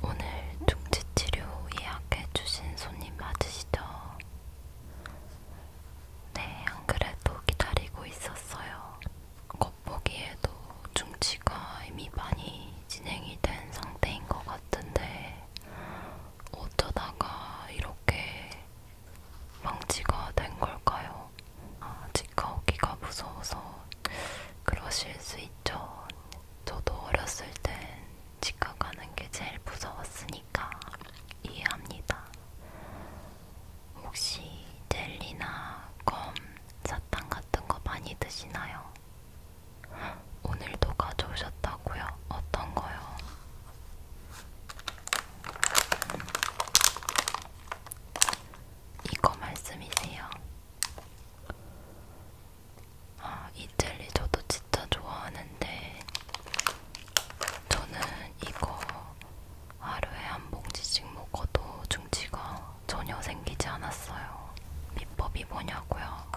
오늘 둥지치료 예약해주신 손님 맞으시죠? 네, 안 그래도 기다리고 있었어요. 겉보기에도 중치가 이미 많이 진행이 된 상태인 것 같은데 어쩌다가 이렇게 방치가 된 걸까요? 아, 직가오기가 무서워서 그러실 수 있죠. 저도 어렸을 땐 치과 가는 게 제일 무서웠으니까 이해합니다. 혹시 젤리나 검, 사탕 같은 거 많이 드시나요? 오늘도 가져오셨다고요? 어떤 거요? 이거 말씀이세요? 아, 이 젤리 저도 진짜 좋아하는데 저는 이거 하루에 한 봉지씩 먹어도 중치가 전혀 생기지 않았어요. 비법이 뭐냐고요?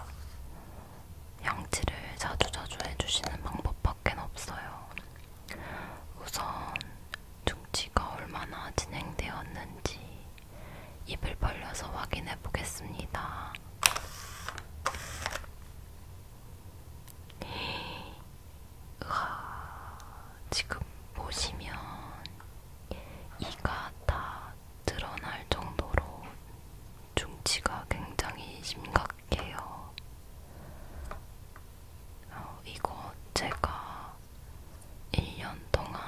양치를 자주자주 해주시는 방법밖에 없어요. 우선 중치가 얼마나 진행되었는지 입을 벌려서 확인해 보겠습니다. 으아, 지금 보시면 이가 다 드러날 정도로 중치가 굉장히 심각해요. 어, 이거 제가 1년 동안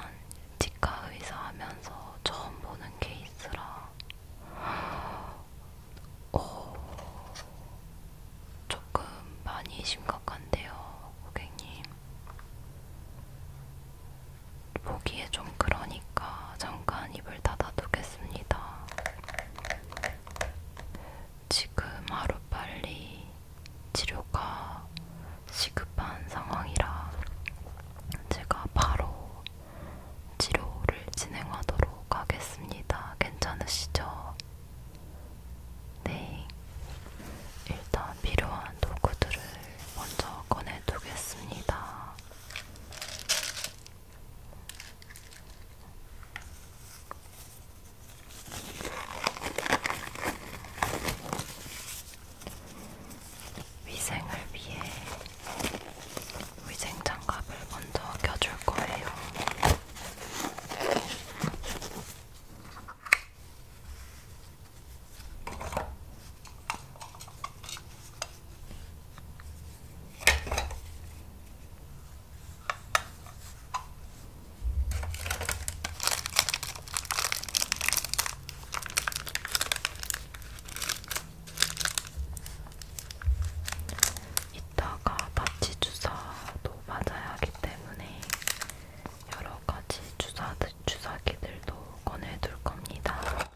치과 의사하면서 처음 보는 케이스라 어, 조금 많이 심각한데요, 고객님. 보기에 좀 그러니까 잠깐 입을 닫아두겠습니다. 지금 하루빨리 치료가 시급한 상황이라 제가 바로 치료를 진행하도록 하겠습니다. 괜찮으시죠? 네. 일단 필요한 도구들을 먼저 꺼내두겠습니다. 위생을 위해 위생장갑을 먼저 껴줄 거예요. 이따가 마취 주사도 맞아야 하기 때문에 여러 가지 주사, 주사기들도 꺼내둘 겁니다.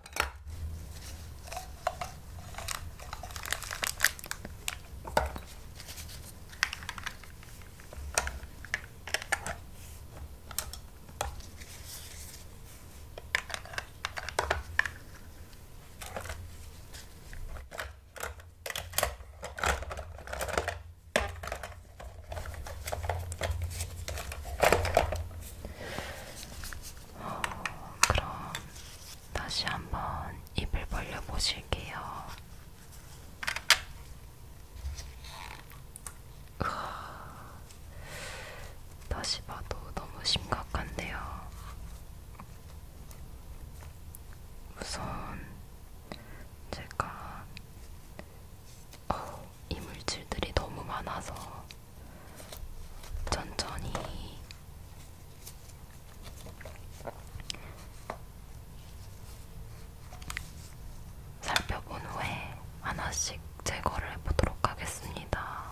어, 그럼 다시 한번 입을 벌려 보실게요. 다시 봐도 너무 심각한데요. 우선 제가 어, 이물질들이 너무 많아서 천천히 살펴본 후에 하나씩 제거를 해보도록 하겠습니다.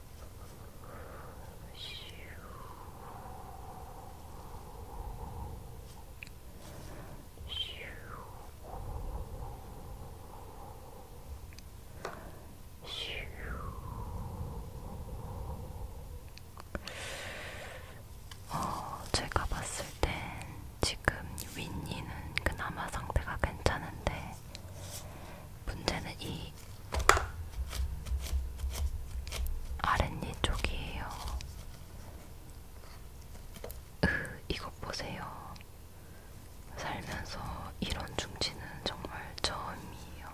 어, 제가 봤을 땐 지금 윈니는 그나마 상태가 괜찮은데 문제는 이 아랫니 쪽이에요. 으, 이것 보세요. 살면서 이런 중지는 정말 처음이에요.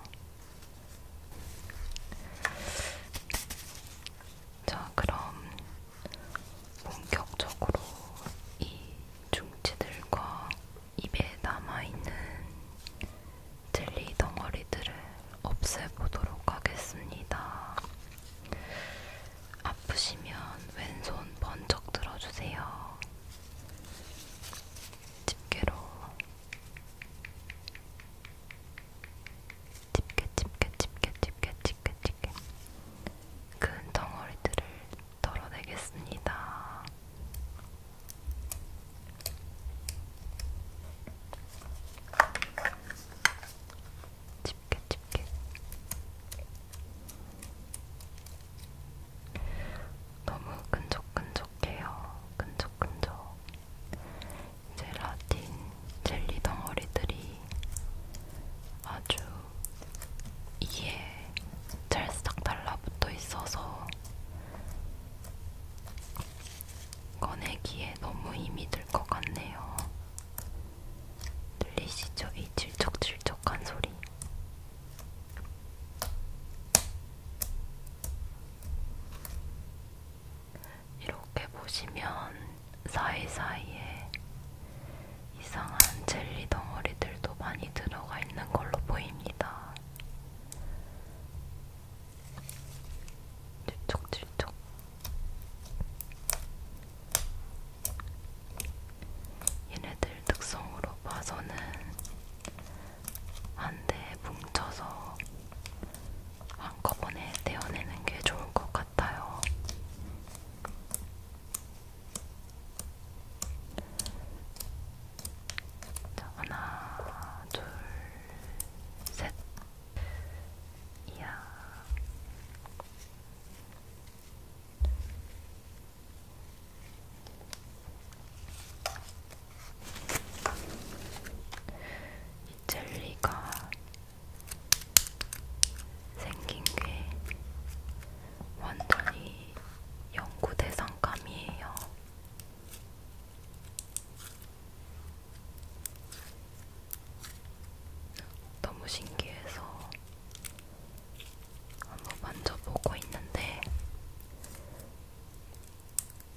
자, 그럼 본격적으로 이 중지들과 입에 남아있는 젤리 덩어리들을 없애보도록 하겠습니다. 아프시면 왼손 번쩍 들어주세요. 집게로 집게 집게 집게 집게 집게 집게 큰 덩어리들을 덜어내겠습니다. 집게 집게 너무 끈적끈적해요. 끈적끈적. 젤라틴 젤리 덩어리들이 아주 이에 찰싹 달라붙어 있어서 꺼내기에 너무 힘이 들 것 같네요. 들리시죠? 이 질척질척한 소리. 이렇게 보시면 사이사이에 이상한 젤리 덩어리들도 많이 들어가 있는 걸로 보입니다. 질척질척 얘네들 특성으로 봐서는 한대에 뭉쳐서 한꺼번에 떼어내는 게 좋을 것 같아요. 자, 하나, 둘, 셋. 이야. 이 젤리가 생긴 게 완전히 연구 대상감이에요. 너무 신기해서 한번 만져보고 있는데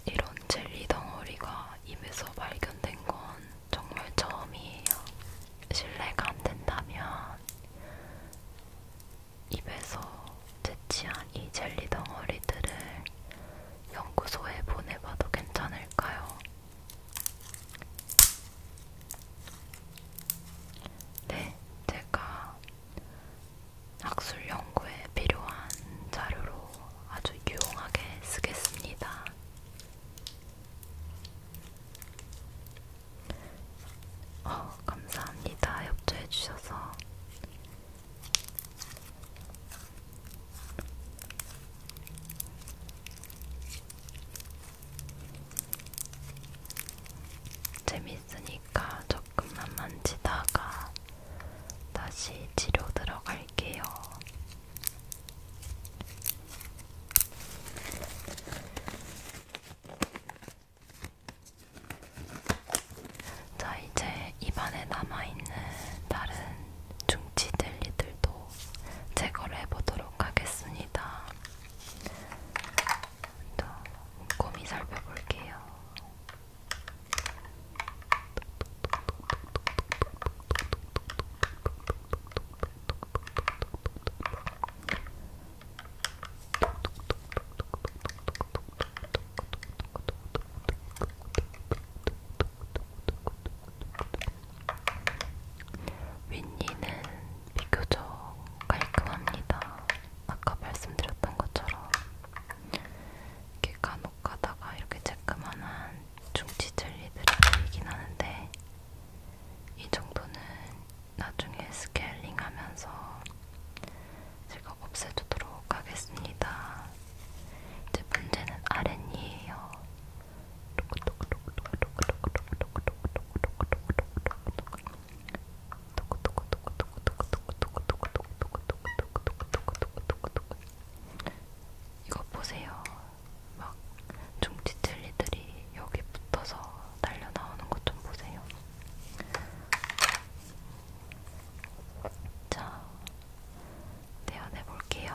이런 젤리 덩어리가 입에서 발견된 건 정말 처음이에요. 실례가 안 된다면 입에서 채취한 이 젤리 덩어리들을 연구소에 보내봐도 괜찮을까요? 네, 제가 학술 연구에 필요한 자료로 아주 유용하게 쓰겠습니다. 어, 감사합니다. 협조해주셔서. 재밌으니까 조금만 만지다가 다시 치료 들어갈게요. 자, 이제 입안에 남아있는 다른 중치젤리들도 제거를 해보도록 하겠습니다. 또 꼼꼼히 살펴볼게요. 윗니는 비교적 깔끔합니다. 아까 말씀드렸던 것처럼 이렇게 간혹 가다가 이렇게 쬐끄만한 중치 젤리들이 보이긴 하는데 이 정도는 나중에 스케일링하면서 제가 없애두도록 하겠습니다. 이제 문제는 아랫니에요. 이거 보세요. 막 중지 젤리들이 여기 붙어서 날려 나오는 것 좀 보세요. 자, 떼어내 볼게요.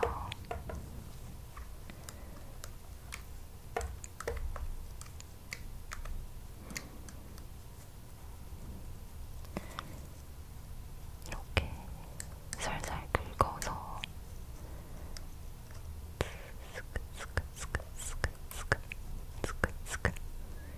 이렇게 살살 긁어서 스크 스크 스크 스크 스크 스크 스크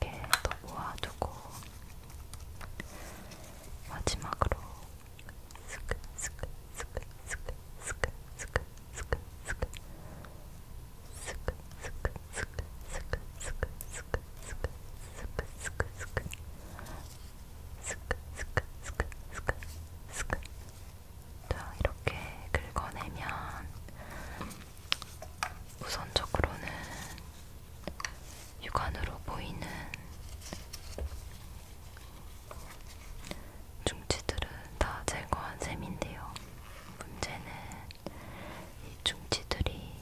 이렇게 또 모아두고 마지막으로 자, 이렇게 긁어내면 우선적으로는 육안으로 보이는 중치들은 다 제거한 셈인데요. 문제는 이 중치들이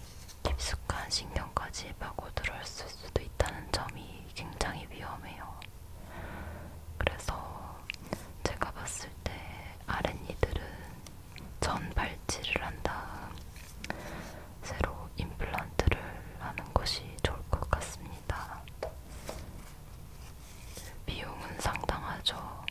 깊숙한 신경까지 파고들었을 수도 있다는 점이 굉장히 위험해요. 그래서 제가 봤을 때 아랫니들은 전발치를 한 다음 새로 임플란트를 하는 것이 좋을 것 같습니다. 비용은 상당하죠.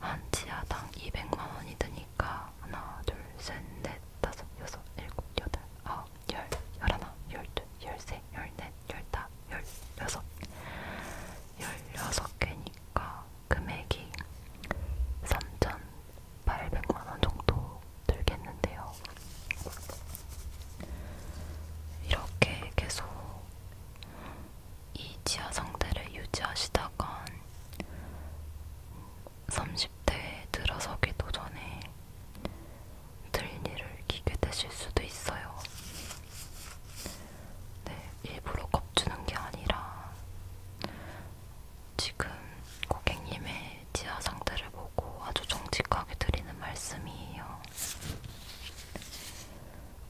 한 치아당 200만원이 드니까 하나, 둘, 셋, 넷, 다섯, 여섯, 일곱, 여덟, 아홉, 열, 열하나, 열둘, 열세, 열넷, 열다, 열여섯 열여섯 개니까 금액이 3,800만원 정도 들겠는데요. 이렇게 계속 이 지하 상태를 유지하시다간 30대에 들어서기도 전에 들니를 기게 되실 수도 있어요. 네, 일부러 겁주는 게 아니라 지금 고객님의 치아 상태를 보고 아주 정직하게 드리는 말씀이에요.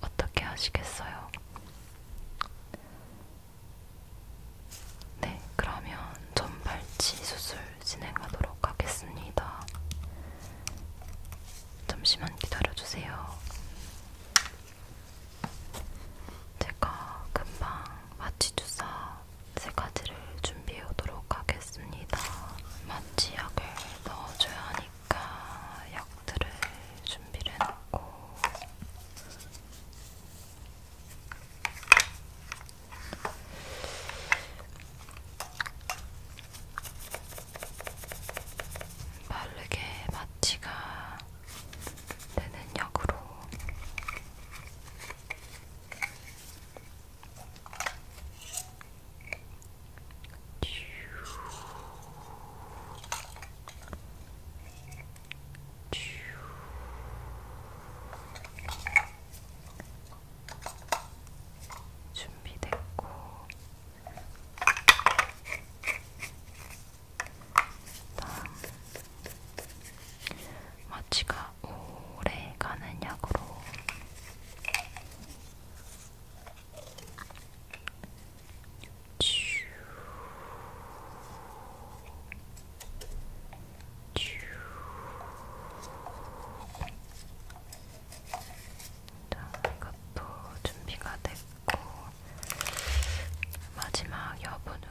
어떻게 하시겠어요? 네, 그러면 전발치 수술 진행하도록 하겠습니다. 잠시만 기다려주세요. 제가 금방 마취주사 세 가지를 준비해 오도록 하겠습니다. 마취약을 넣어줘야 하니까 약들을 준비를 해놓고 빠르게 마취가 되는 역으로 준비됐고 다음 마취가 오래 가는 약으로 쥬 쥬. 자, 이것도 준비가 됐고 마지막 여분으로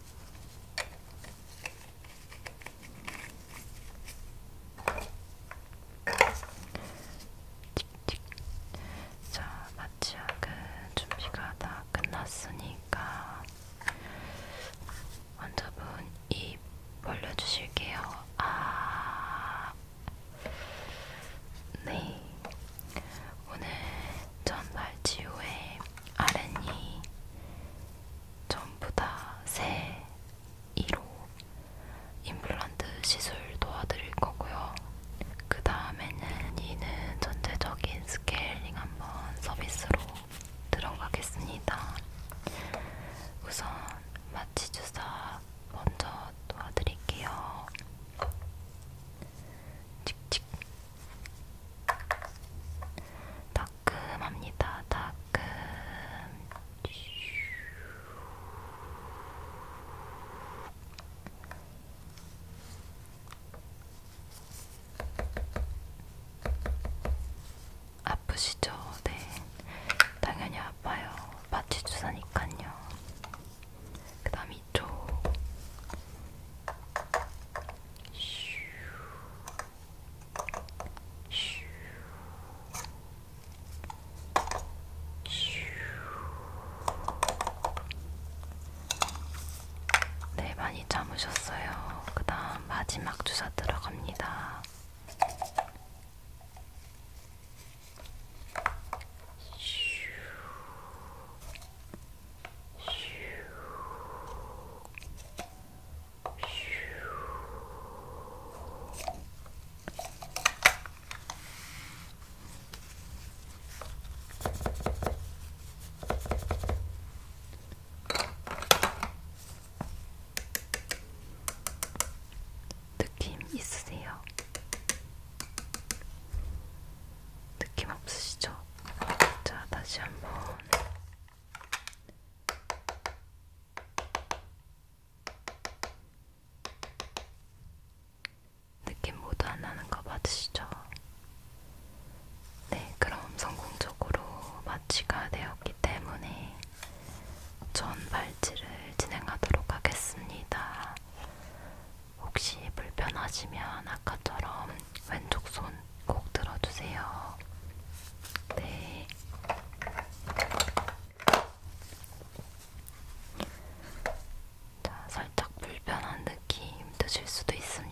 자, 마취약은 준비가 다 끝났으니까 환자분 입 벌려주실게요. 아, 네. 오늘 전발치후에 아랫니 전부 다새 1호 임플란트 시술 도와드릴 거고요. 그 다음에는 이는 전체적인 스케일링 한번 서비스로 들어가겠습니다. 우선 마취 주사 먼저 도와드릴게요. 칙칙 따끔합니다. 따끔. 아프시죠? 네. 당연히 아파요. 마취 주사니까요. 그다음 이쪽. 네, 많이 참으셨어요. 그 다음 마지막 주사 들어갑니다. 슈, 느낌 있으세요? 느낌 없으시죠? 자, 다시 한번 느낌 모두 안 나는 거 맞으시죠? 네, 그럼 성공적으로 마취가 되었기 때문에 전 발찌를 진행하도록 하겠습니다. 혹시 불편하시면 아까처럼 왼쪽 손 꼭 들어주세요. 네. 자, 살짝 불편한 느낌 드실 수도 있습니다.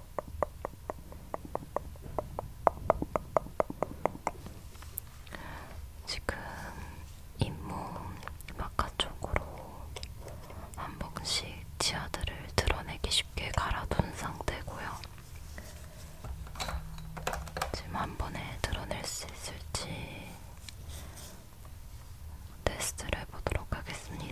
지금 잇몸 바깥쪽으로 한 번씩 지하들을 드러내기 쉽게 갈아둔 상태고요. 지금 한 번에 드러낼 수 있을지 테스트를 해보도록 하겠습니다.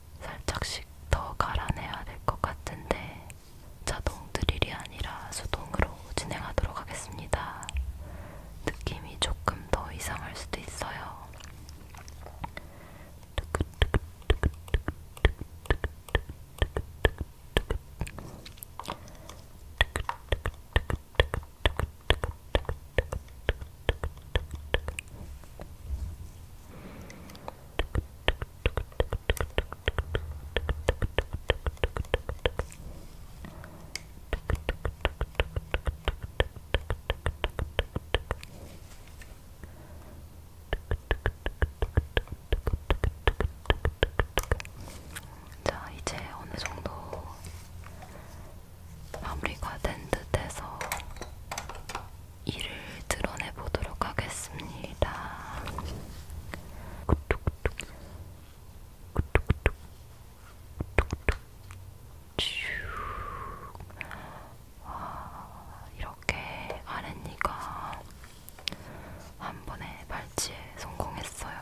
살짝씩 더 갈아내야 될 것 같은데 자동 드릴이 아니라 수동으로 진행하도록 하겠습니다. 느낌이 조금 더 이상할 수도 있어요. 자, 이제 어느 정도 마무리가 된 듯해서 이를 드러내 보도록 하겠습니다. 와, 아, 이렇게 아랫니가 한 번에 발치에 성공했어요.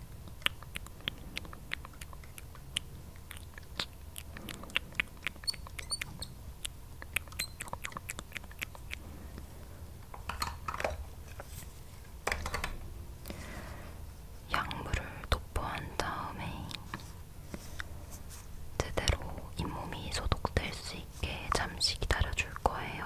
약물을 도포한 다음에 제대로 잇몸이 소독될 수 있게 잠시 기다려줄 거예요.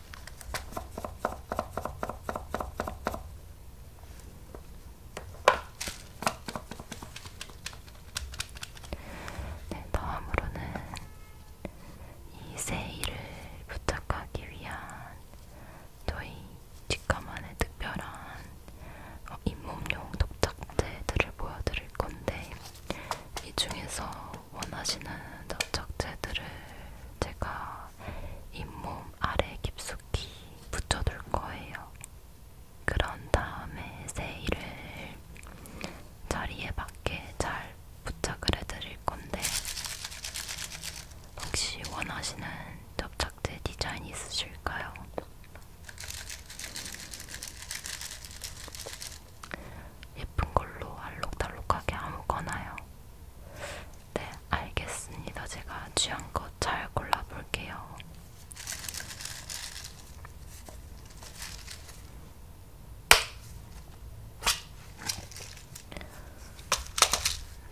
네, 다음으로는 이 세일을 부탁하기 위한 저희 직감만의 특별한 어, 잇몸용 독착제들을 보여드릴 건데 이 중에서 원하시는 접착제들을 제가 잇몸 아래 깊숙이 붙여둘 거예요. 그런 다음에 세일을 자리에 맞게 잘 부착을 해드릴 건데 혹시 원하시는 접착제 디자인 있으실까요? 예쁜 걸로 알록달록하게 아무거나요. 네, 알겠습니다. 제가 취향껏 잘 골라볼게요.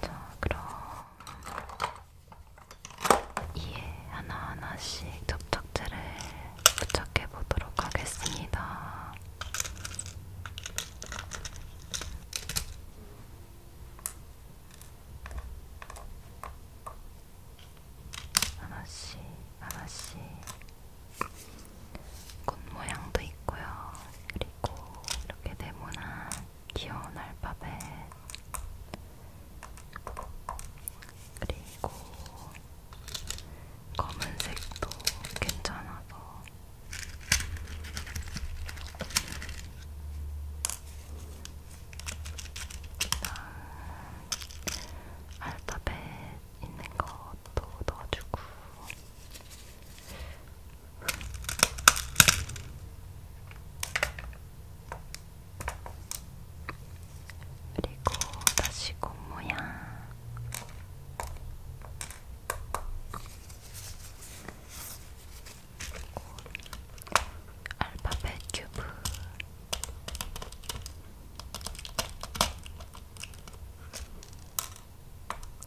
자, 그럼 이에 하나하나씩 접착제를 부착해 보도록 하겠습니다. 하나씩, 하나씩. 꽃 모양도 있고요. 그리고 이렇게 네모난 귀여운 알파벳. 그리고 검은색도 괜찮아서 알파벳 있는 것도 넣어주고 그리고 다시 곰 모양 알파벳 큐브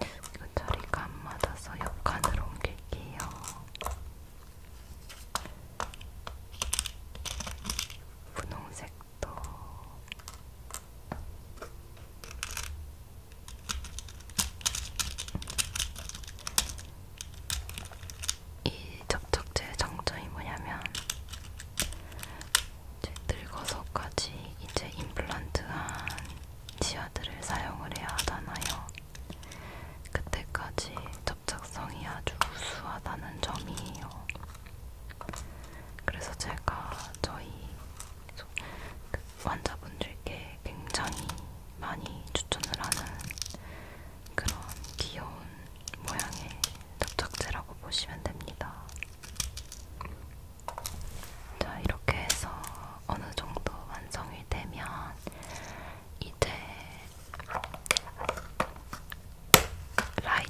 이 자리가 안 맞아서 옆칸으로 옮길게요. 분홍색 더이 접촉제의 장점이 뭐냐면 이제 늙어서까지 이제 임플란트한 치아들을 사용을 해야 하잖아요. 그때까지 접착성이 아주 우수하다는 점이에요. 그래서 제가 저희 환자분들께 굉장히 많이 추천을 하는 그런 귀여운 모양의 접착제라고 보시면 됩니다. 자, 이렇게 해서 어느 정도 완성이 되면 이제 라이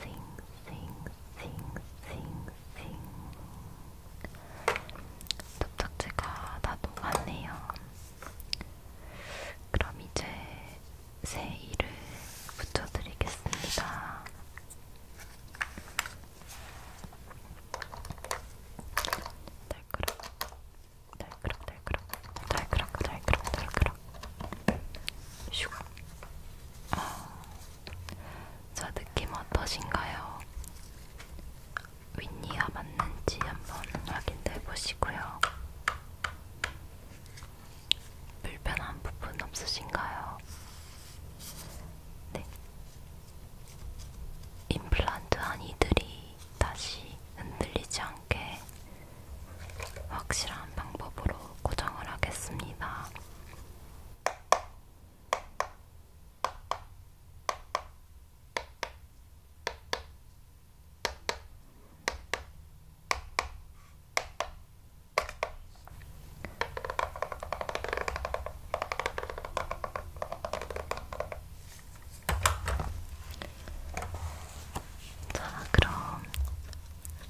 sing, sing, sing, sing, sing. 접착제가 다 녹았네요. 그럼 이제 새 이를 붙여드리겠습니다. 달그락, 달그락, 달그락, 달그락, 달그락, 달그락. 슉. 아, 저 느낌 어떠신가요? 윗니가 맞는지 한번 확인해 보시고요. 불편한 부분 없으신가요? 네. 임플란트 한 이들이 다시 흔들리지 않게 확실한 방법으로 고정을 하겠습니다. 자, 그럼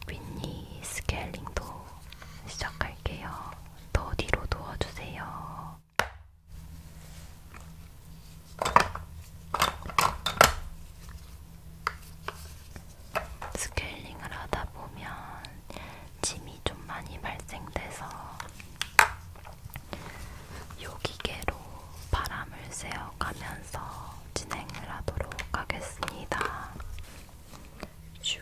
윈니 스케일링도 시작할게요. 더 뒤로 누워주세요. 스케일링을 하다 보면 짐이 좀 많이 발생돼서 요기계로 바람을 쐬어 가면서 진행을 하도록 하겠습니다. 슈.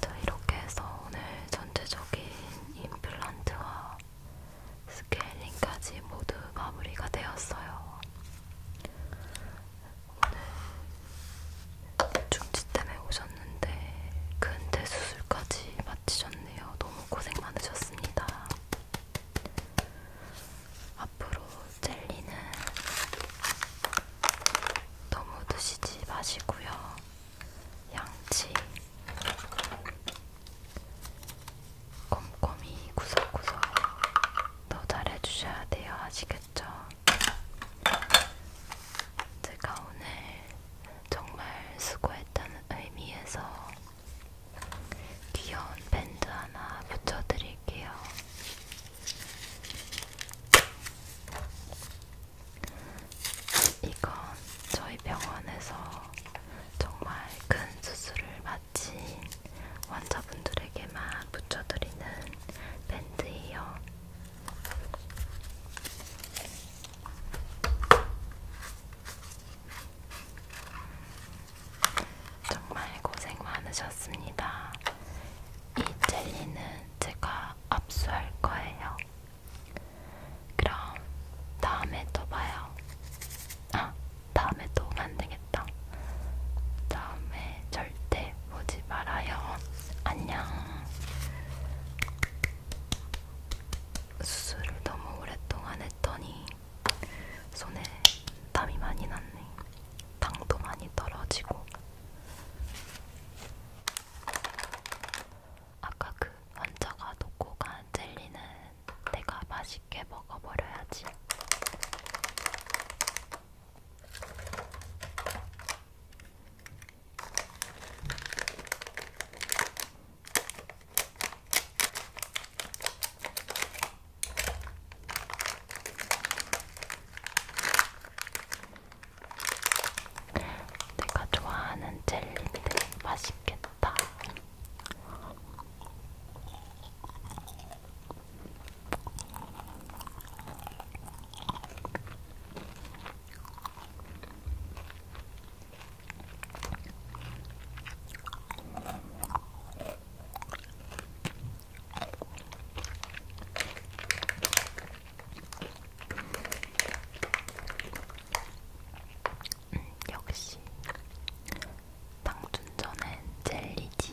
자, 이렇게 해서 오늘 전체적인 임플란트와 스케일링까지 모두 마무리가 되었어요. 오늘 중지 때문에 오셨는데 큰 대수술까지 마치셨네요. 너무 고생 많으셨습니다. 앞으로 젤리는 너무 드시지 마시고요. 양치 꼼꼼히 구석구석 더 잘해주셔야 돼요. 아시겠죠? 제가 오늘 정말 수고했다는 의미에서 귀여운 밴드 하나 붙여드릴게요. 이건 저희 병원에서 정말 큰 수술을 마친 환자분들에게만 붙여드리는 밴드예요. 정말 고생 많으셨습니다. 이 젤리는 제가 압수할 거예요. 그럼 다음에 또 봐요. 아, 다음에 또 만들겠다. 다음에 절 절대 보지 말아요. 안녕. 수술을 너무 오랫동안 했더니 손에 땀이 많이 났네. 당도 많이 떨어지고. 아까 그 환자가 놓고 간 젤리는 내가 맛있게 먹어버려야지. 내가 좋아하는 젤리인데 맛있겠다. 음, 역시 방춘전엔 젤리지.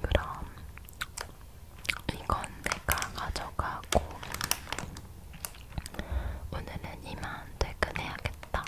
그럼 이건 내가 가져가고 오늘은 이만 퇴근해야겠다.